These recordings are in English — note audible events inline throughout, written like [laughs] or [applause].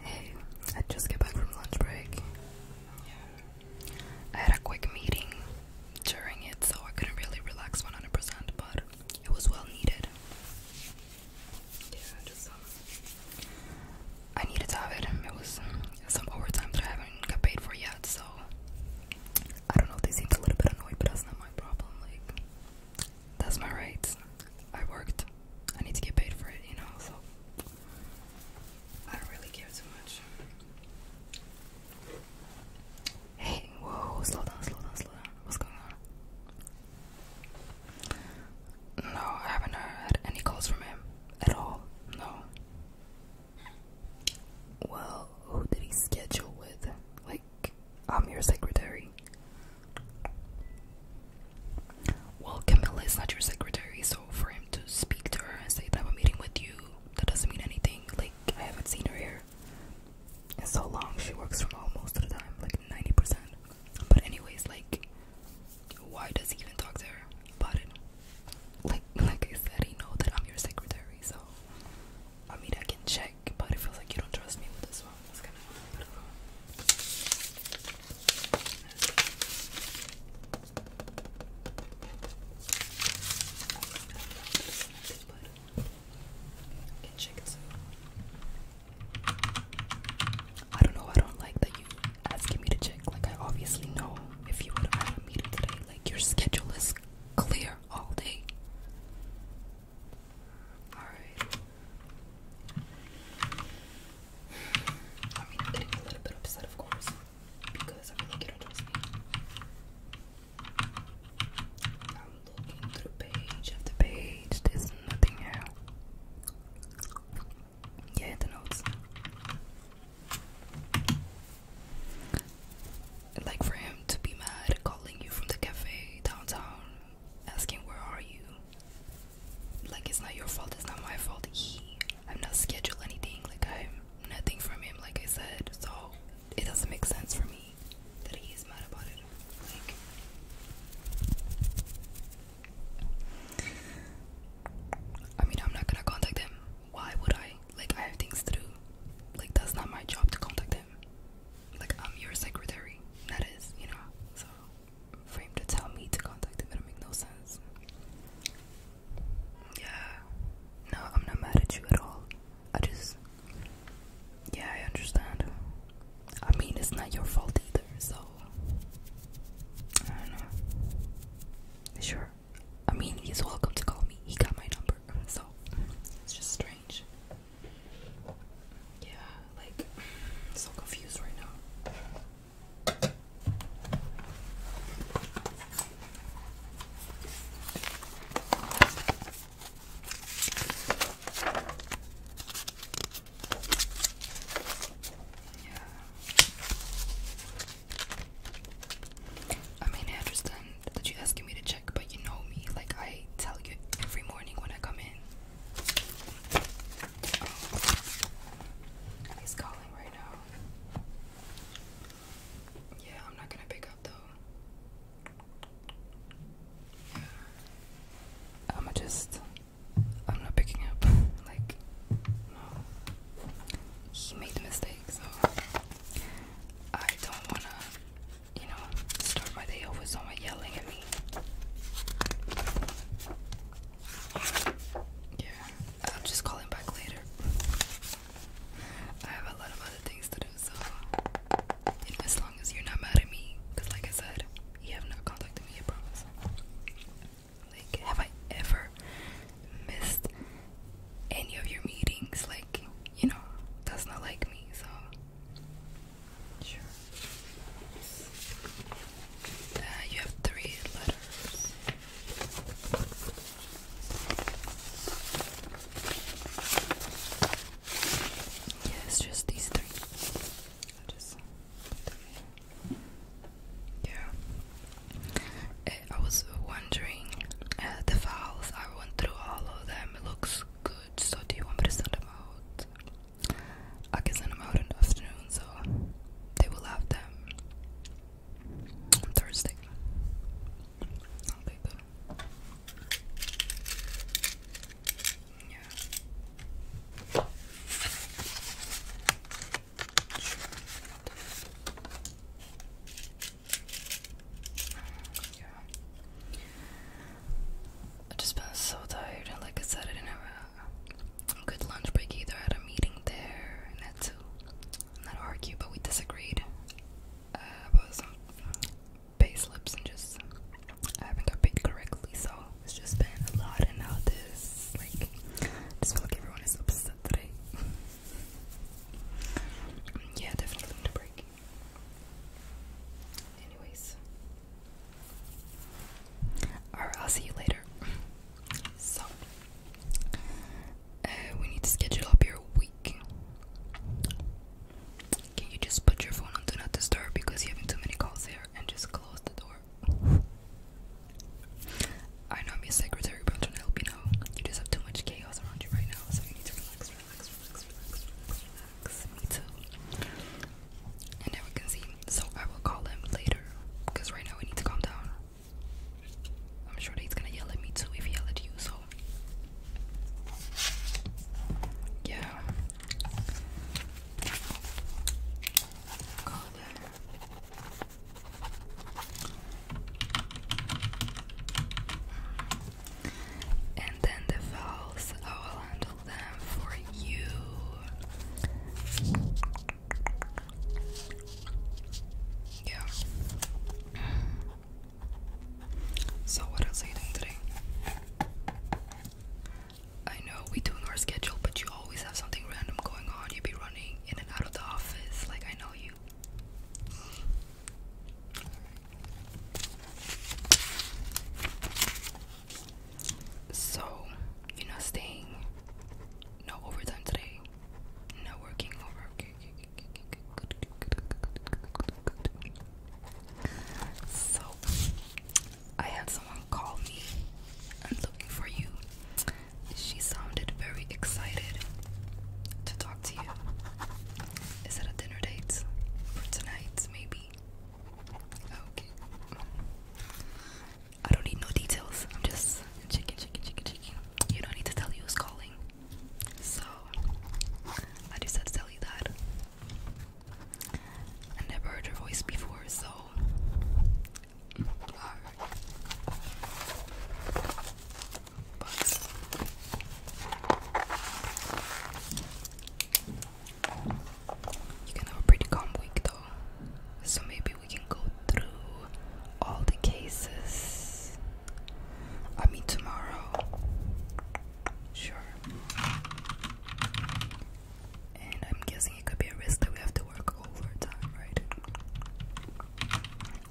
Hey, I just got back from lunch break. Yeah. I had a quick meeting during it, so I couldn't really relax 100%, but it was well needed. Yeah, just um, I needed to have it. It was some overtime that I haven't got paid for yet, so I don't know. if They seemed a little bit annoyed, but that's not my problem. Like, that's my right. I worked. I need to get paid for it, you know, so I don't really care too much. Hey, whoa, slow down, slow down, slow down. What's going on? No, I haven't had any calls from him at all. No. Well, who did he schedule with? Like, I'm your secretary. Well, Camilla is not your secretary, so for him to speak to her and say that I'm meeting with you, that doesn't mean anything. Like, I haven't seen her here in so long. She works from home most of the time, like 90%. But, anyways, like, why does he even talk to her about Like, [laughs] like I said, he knows that I'm your secretary, so I mean, I can check, but it feels like you don't trust me with this one. I don't know. I don't like that you asking me to check. Like I obviously know if you would have met a today. Like your schedule is clear all day. Alright. I am getting a little bit upset, of course, because I feel like you don't trust me. I'm looking through page after page, there's nothing here. Yeah, the notes. Like for him to be mad calling you from the cafe downtown asking where are you like it's not your fault it's not my fault he i'm not scheduled anything like i'm nothing from him like i said so it doesn't make sense for me that he's mad about it like I mean, I'm not gonna contact him. Why would I? Like, I have things to do. Like, that's not my job to contact him. Like, I'm your secretary. That is, you know? So, for him to tell me to contact him. it make no sense. Yeah. No, I'm not mad at you at all. I just. Yeah, I understand. I mean, it's not your fault either, so. I know. Sure. I mean, he's welcome to call me. He got my number, so. It's just strange. Yeah, like I'm so confused right now. Yeah. I mean, I understand that you're asking me to check, but you know me. Like, I tell you every morning when I come in He's calling right now. Yeah, I'm not gonna pick up though. i am just. I'm not picking up. [laughs] like, He made the mistake, so. I don't wanna, you know, start by day off someone yelling at me yeah, I'll just call him back later. I have a lot of other things to do, so as long as you're not mad at me, because like I said, you have not contacted me, promise. Like, have I ever missed any of your meetings? Like, you know, that's not like me, so Sure. Uh, you have three letters. Yeah, it's just these three. I just yeah. Uh, I was wondering uh, the files. I went through all of them. It looks good. So do you want me to send them out? I can send them out in the afternoon, so they will have them Thursday. I'll Yeah. I just felt so tired, and like I said, I didn't have a good lunch break either. I had a meeting there, and had to not argue, but we disagreed uh, about some pay slips and just I haven't got paid correctly. So it's just been a lot, and now this, like, just feel like everyone is upset today. [laughs] yeah, definitely need a break. Anyways, Alright, I'll see you later. So, uh, we need to schedule up your week. Can you just put your phone on Do Not Disturb because you're having too many calls here and just close the door? I know I'm your secretary, but I'm to help you know. You just have too much chaos around you right now, so you need to relax, relax, relax, relax. Me too. And never can see. So I will call him later. Because right now we need to calm down. I'm sure that he's gonna yell at me too if he yell at you, so yeah. Call him. And then the vowels I will handle shuffle them for you. Yeah. So, what are you doing today? I know we do our schedule, but you always have something random going on. You be running in and out of the office, like I know you. So, you're not staying. No overtime today. No working over. So, I had someone call me. I'm looking for you. She sounded very excited to talk to you. Is it a dinner date for tonight? Maybe Okay. I don't need no details. I'm just chicken, chicken, chicken, chicken. You don't need to tell who's calling. So, I just had to tell you that. I never heard your voice before, so. You can have a pretty calm week though. So maybe we can go through all the cases. I mean, tomorrow. Sure. And I'm guessing it could be a risk that we have to work overtime, right?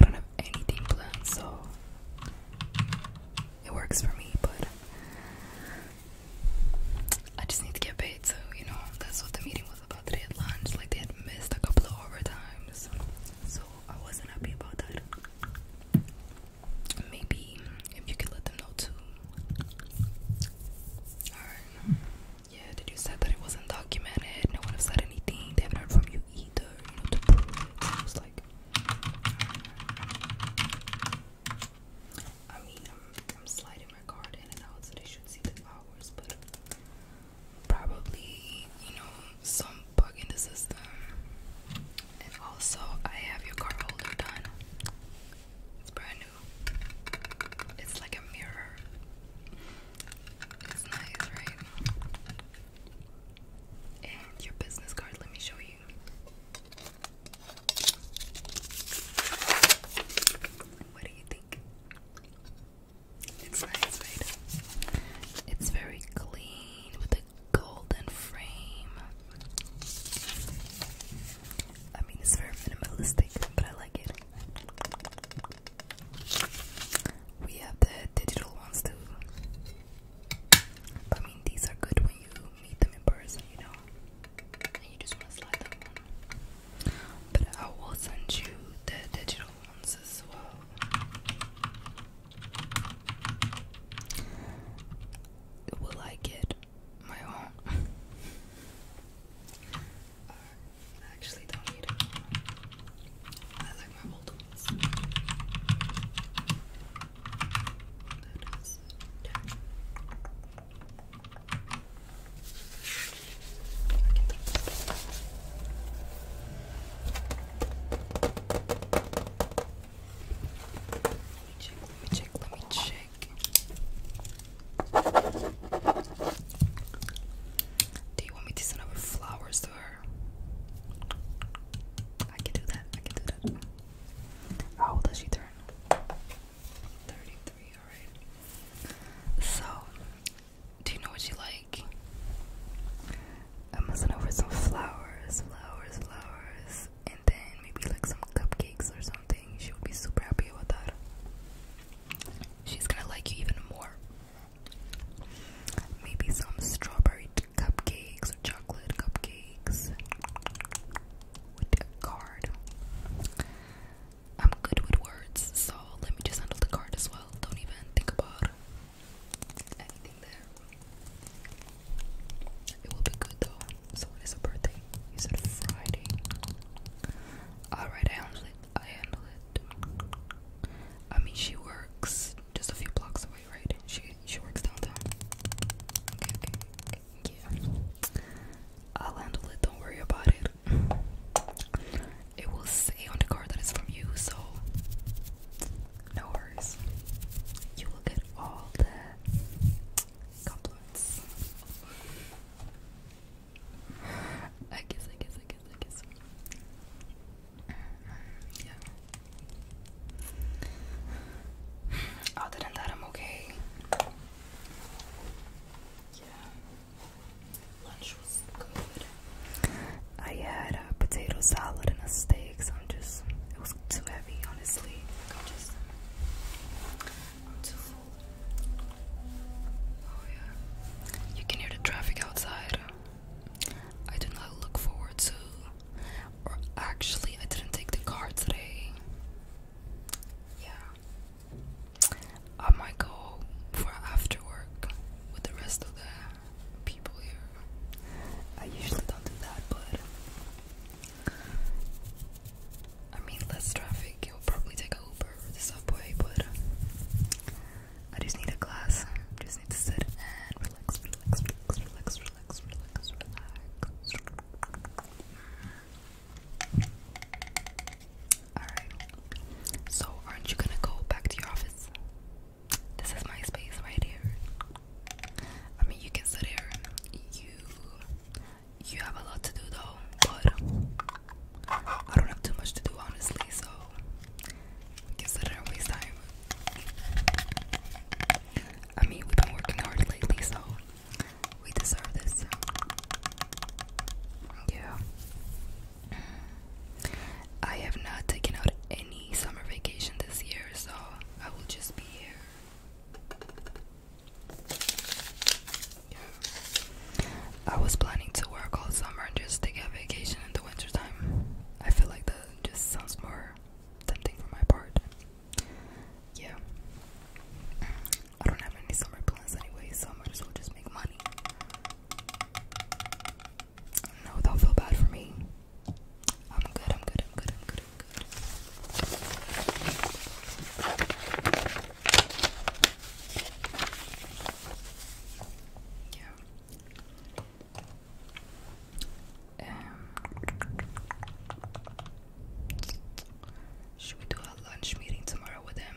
I don't have anything planned, so it works for me, but I just need to get paid, so you know that's what the meeting was about today at lunch. Like they had missed a couple of overtimes, so I wasn't happy about that. Maybe if you could let them know too. Alright. Yeah, did you said that it wasn't documented? No one have said anything. They haven't heard from you either. You know to prove it. was like. I mean, I'm, I'm sliding my card in and out so they should see the hours, but probably, you know, some bug in the system. And also, I have your card holder done. It's brand new. It's like a mirror. It's nice, right? And your business card, let me show you. What do you think? It's nice, right? It's very clean with a golden frame. I mean, it's very minimalistic, but I like it. We have the digital ones too. I mean, these are good when you meet them in person, you know, and you just want to slide them on. But I will send you the digital ones as well. Will I get my own? [laughs] Uh, I actually don't need it. I like my old ones. Let me check, Do you want me to send over flowers to her? I can do that, I can do that. How old does she so, do you know what you like? I'm messing over some flowers, flowers, flowers, and then maybe like some cupcakes or something. She would be super happy about that. She's gonna like you even more. Maybe some strawberry cupcakes or chocolate cupcakes with a card. I'm good with words, so let me just handle the card as well. Don't even think about anything there. It will be good though. So it is a birthday. You said Friday. Alright, I handle it. I handle it. I mean she works just a few blocks away, right? She she works downtown. I'll handle it. Don't worry about it. It will say on the card that it's from you, so no worries. You will get all the compliments. I guess, I guess, I guess, I guess. Uh, yeah. Other than that, I'm okay. Yeah, lunch was good. I had a potato salad and a steak, so I'm just, it was too heavy, honestly. Oh, yeah. You can hear the traffic outside. I do not look forward to or actually, I didn't take the car today. Yeah. I might go for after work with the rest of the people here. I usually don't do that, but I mean, less traffic. You'll probably take a Uber or the subway, but I just need a glass. I just need to sit and relax, relax, relax, relax, relax, relax, relax. Alright. So, aren't you gonna go back to your office? This is my space right here. I mean, you can sit here. You you have a lot to do though, but I don't have too much to do honestly, so can sit here and waste time. I mean, we've been working hard lately, so we deserve this. Yeah. I have not taken out any summer vacation this year, so I will just be here. I was planning to work all summer and just take a vacation in the wintertime. I feel like that just sounds more tempting for my part yeah. I don't have any summer plans anyway, so I might just make money. No, don't feel bad for me. I'm good, I'm good, I'm good, I'm good, I'm good. Yeah. Um, should we do a lunch meeting tomorrow with him?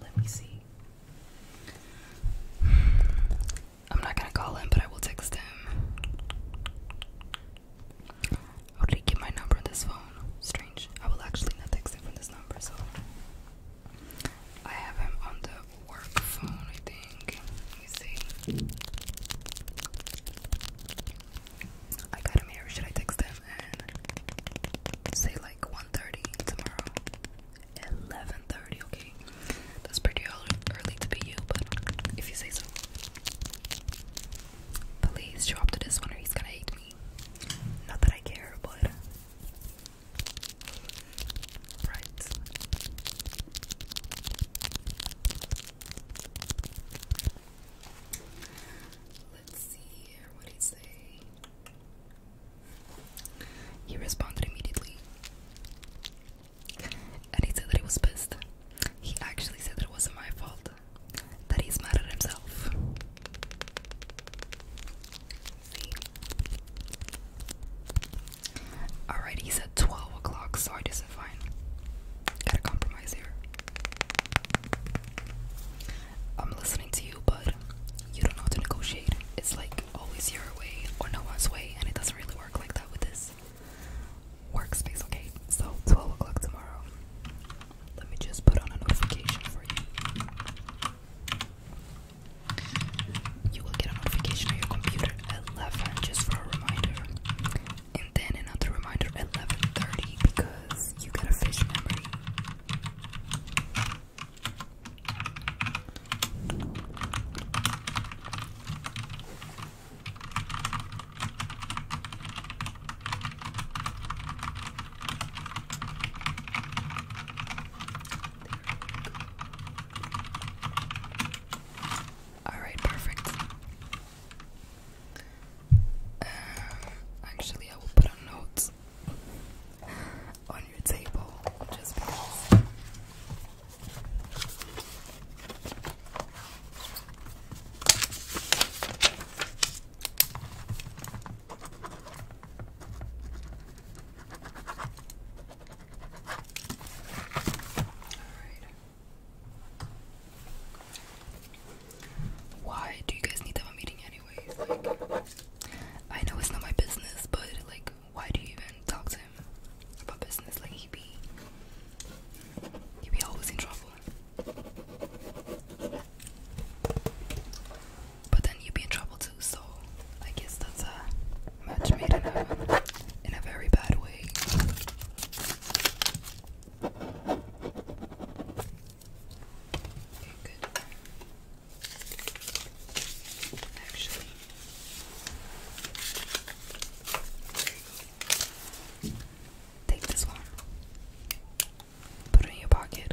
Let me see. I'm not gonna call him, but I will text him. How did he get my number on this phone? Strange. I will actually not text him from this number, so I have him on the work phone, I think. Let me see. I got him here. Should I text him and say like 1.30 tomorrow? 11.30, okay. That's pretty early to be you, but if you say so. Please show up to this one or he's gonna hate me. Not that I care, but... Right. Let's see here. What he say? He responded immediately. And he said that he was pissed. He actually said that it wasn't my fault. That he's mad at himself. See? Alright, he said 12 o'clock, so I decided fine. Gotta compromise here. I'm listening to you, but you don't know how to negotiate. It's like always your way or no one's way, and it doesn't really work like that with this workspace, okay? So, 12 o'clock tomorrow. Let me just put on a notification for you. You will get a notification on your computer at 11 just for a reminder and then another reminder at 11.30 because you got a fish memory Alright, perfect. Um, actually, I will put a note on your table just why do you guys need to have a meeting anyways? Like, I know it's not my business, but like, why do you even talk to him about business? Like, he be, he be always in trouble. But then you'd be in trouble too, so I guess that's a match made in heaven in a very bad way take this one, put it in your pocket.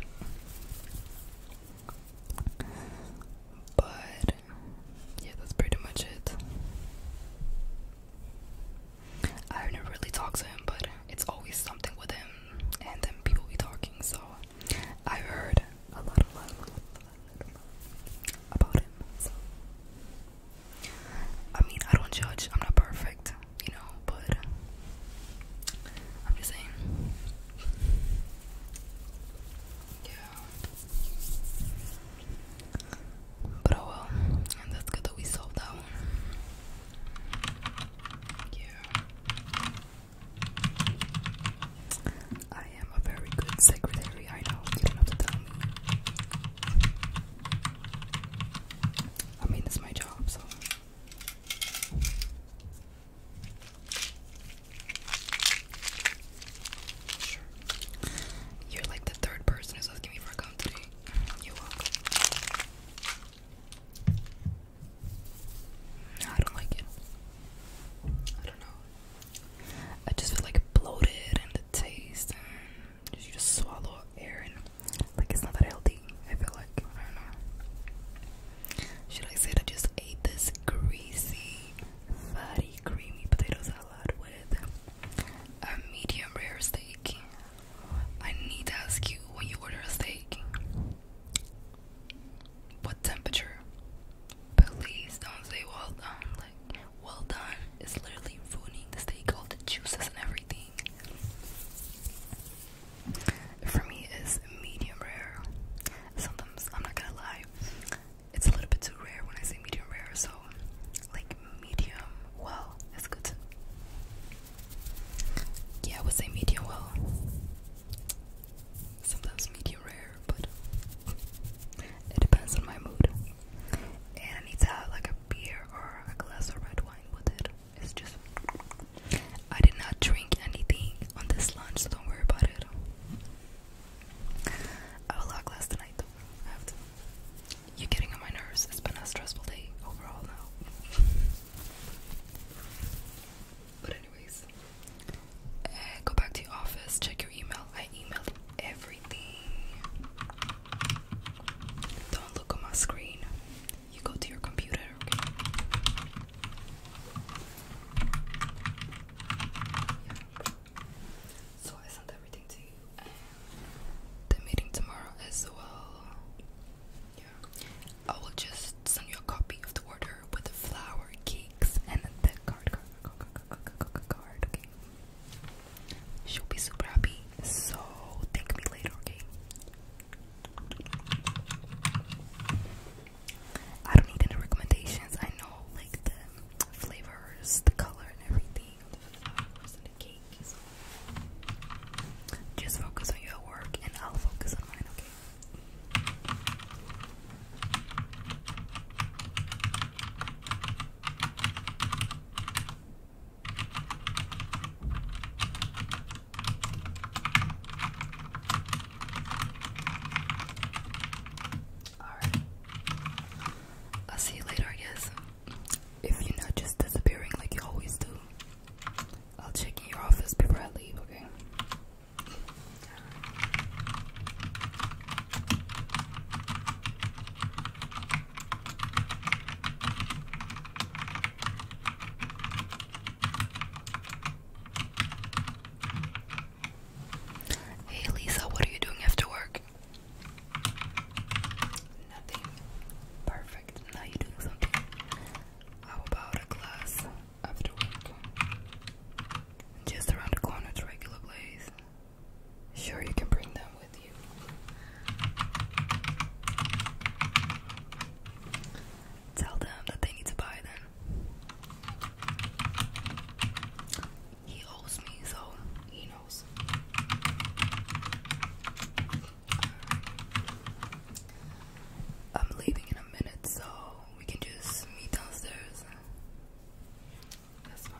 But yeah, that's pretty much it. I have never really talked to him, but it's always something with him, and then people be talking. So I heard a lot, a lot, about him. So I mean, I don't judge. I'm not perfect, you know, but I'm just saying. Yeah. But oh well, that's good that we solved that one. I am a very good secretary, I know, you don't have to tell me. I mean, it's my job, so. You're like the third person who's asking me for a count You're I don't like it. I don't know. I just feel like bloated and the taste you just swallow air and like it's not that healthy. I feel like I don't know. Should I say I just ate this greasy, fatty, creamy potato salad with a medium rare steak. I need to ask you when you order a steak. What temperature? Please don't say well done. Like well done is literally ruining the steak, all the juices and everything. For me, is medium rare. Sometimes I'm not gonna lie it's a little bit too rare when I say medium rare, so like medium well is good. Yeah, I would say medium well. Sometimes medium rare, but it depends on my mood. And I need to have like a beer or a glass of red wine with it. It's just I did not drink anything on this lunch, so don't worry about it. I have a lot last tonight you're getting on my nerves. It's been a stressful day overall now. but anyways, eh, go back to your office. Check your email. I emailed everything. Don't look on my screen. You go to your computer. Okay? So I sent everything to you, and the meeting tomorrow as well. Yeah, I will just send you a copy of the order with the flower, cakes, and the card. Card, card, card, card, card okay. She'll be super happy. So thank me later, okay? I don't need any recommendations. I know like the flavors, the color, and everything just focus on your work, and I'll focus on mine. Okay. All right. I'll see you later, I guess if you're not just disappearing like you always do, I'll check in your office before I leave, okay? Hey Lisa, what are you doing after work? Nothing perfect. Now you're doing something. How about a class after work? Just around the corner to regular place. Sure, you can bring them with you. Tell them that they need to buy them he owes me, so he knows. I'm leaving in a minute, so we can just meet downstairs. That's fine.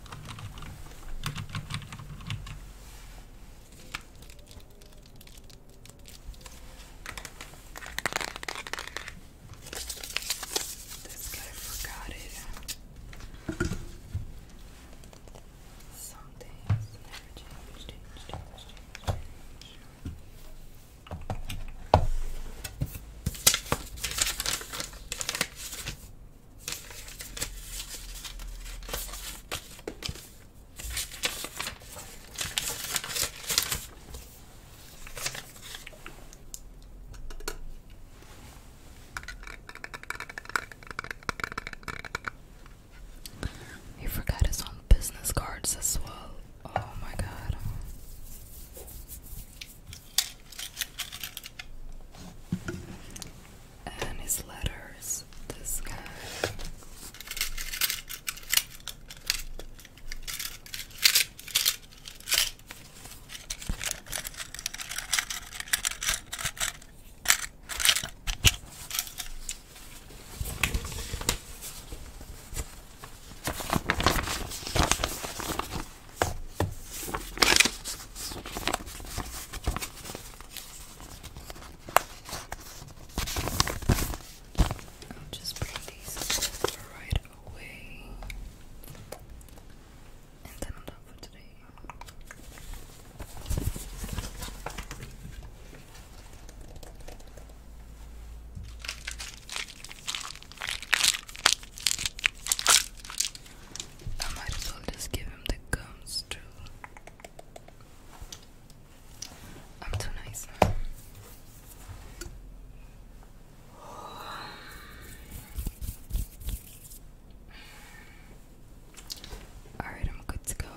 This guy forgot it. Some things never change, change, change, change, change. He forgot his own business cards as well. Oh my god and his letters. This guy. I'll just bring these right away. And then i for today. I might as well just give him the gums too. I'm too nice now. Alright, I'm good to go.